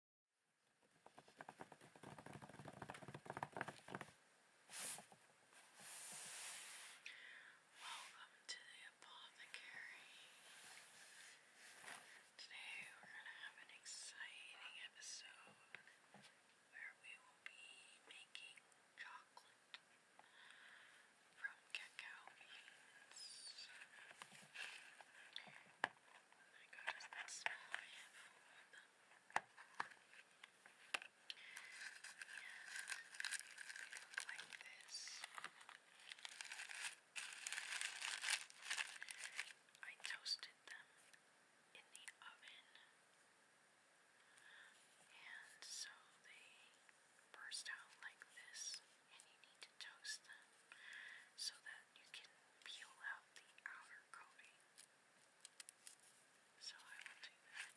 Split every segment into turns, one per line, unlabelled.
Welcome to the apothecary. Today we're going to have an exciting episode where we will be making chocolate from cacao beans my god, is that small? I have four them. look like this. I toasted them in the oven, and so they burst out like this, and you need to toast them so that you can peel out the outer coating. So I will do that.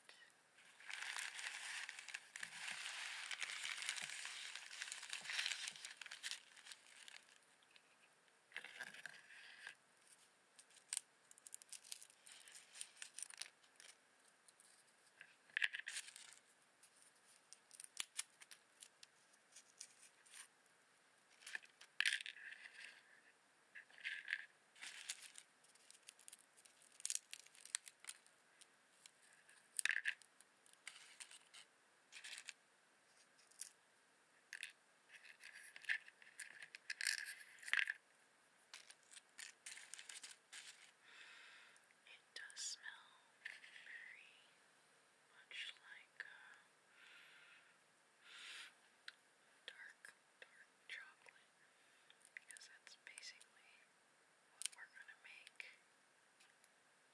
It does smell very much like uh, dark, dark chocolate because that's basically what we're going to make 100%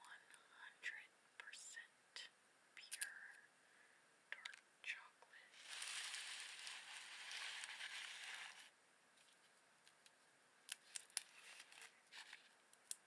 pure dark chocolate.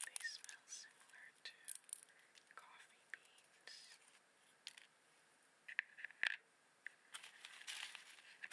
They smell similar to coffee beans. They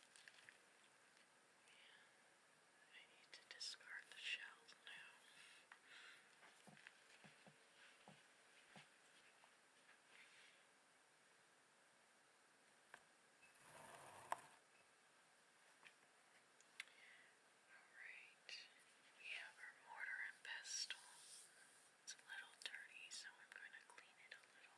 I need to discard the shell now. Alright, we have our mortar and pestle. It's a little dirty, so I'm going to clean it a little.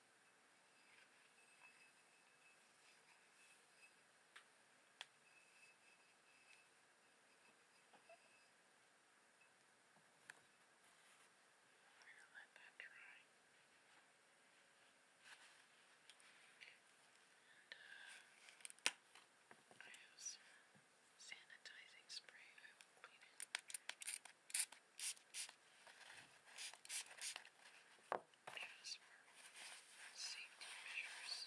I'm going to let that dry. And uh, I have some sanitizing spray I will clean it asthma, safety measures.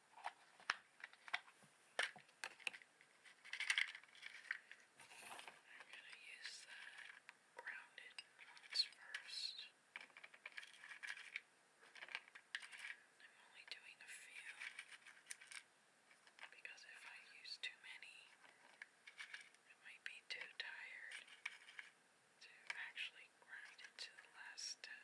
I'm going to use the rounded ones first. And I'm only doing a few because if I use too many, I might be too tired to actually grind it to the last step.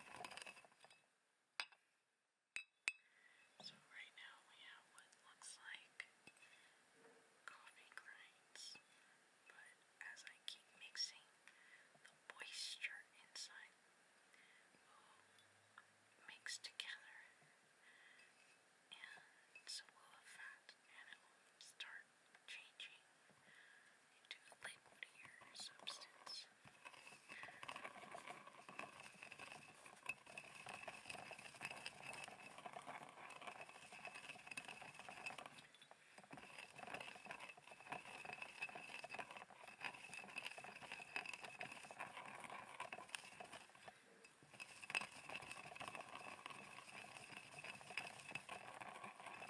So right now we have what looks like coffee grinds, but as I keep mixing, the moisture inside will mix together, and so will the fat, and it will start changing into a liquidier substance. Now,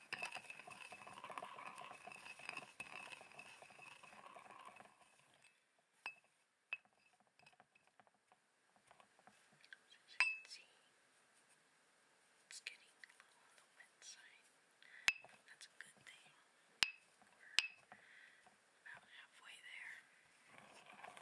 As you can see, it's getting a little on the wet side. That's a good thing. We're about halfway there. Now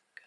is good.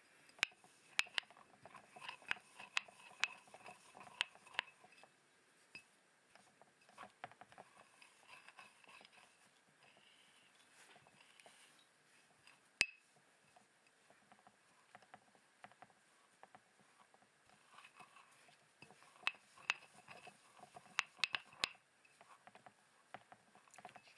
You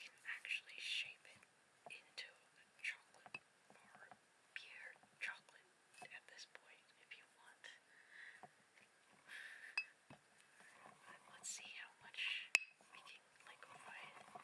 can actually shape it into a chocolate bar, pure chocolate at this point, if you want. But let's see how much we can like find. Wow,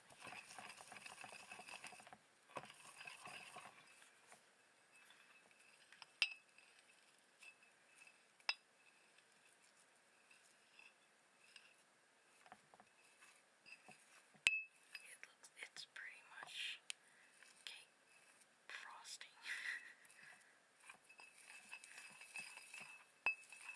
It looks, it's pretty much cake frosting.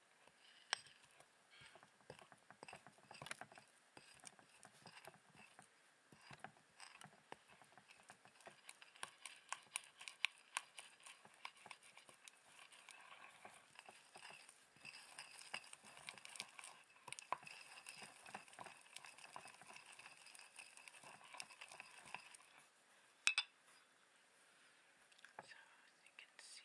So as you can see,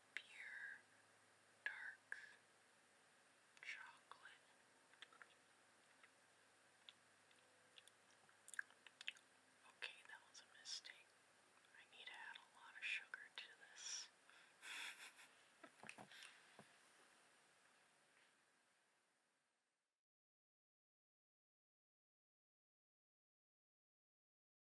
pure dark chocolate. Okay, that was a mistake. I need to add a lot of sugar to this.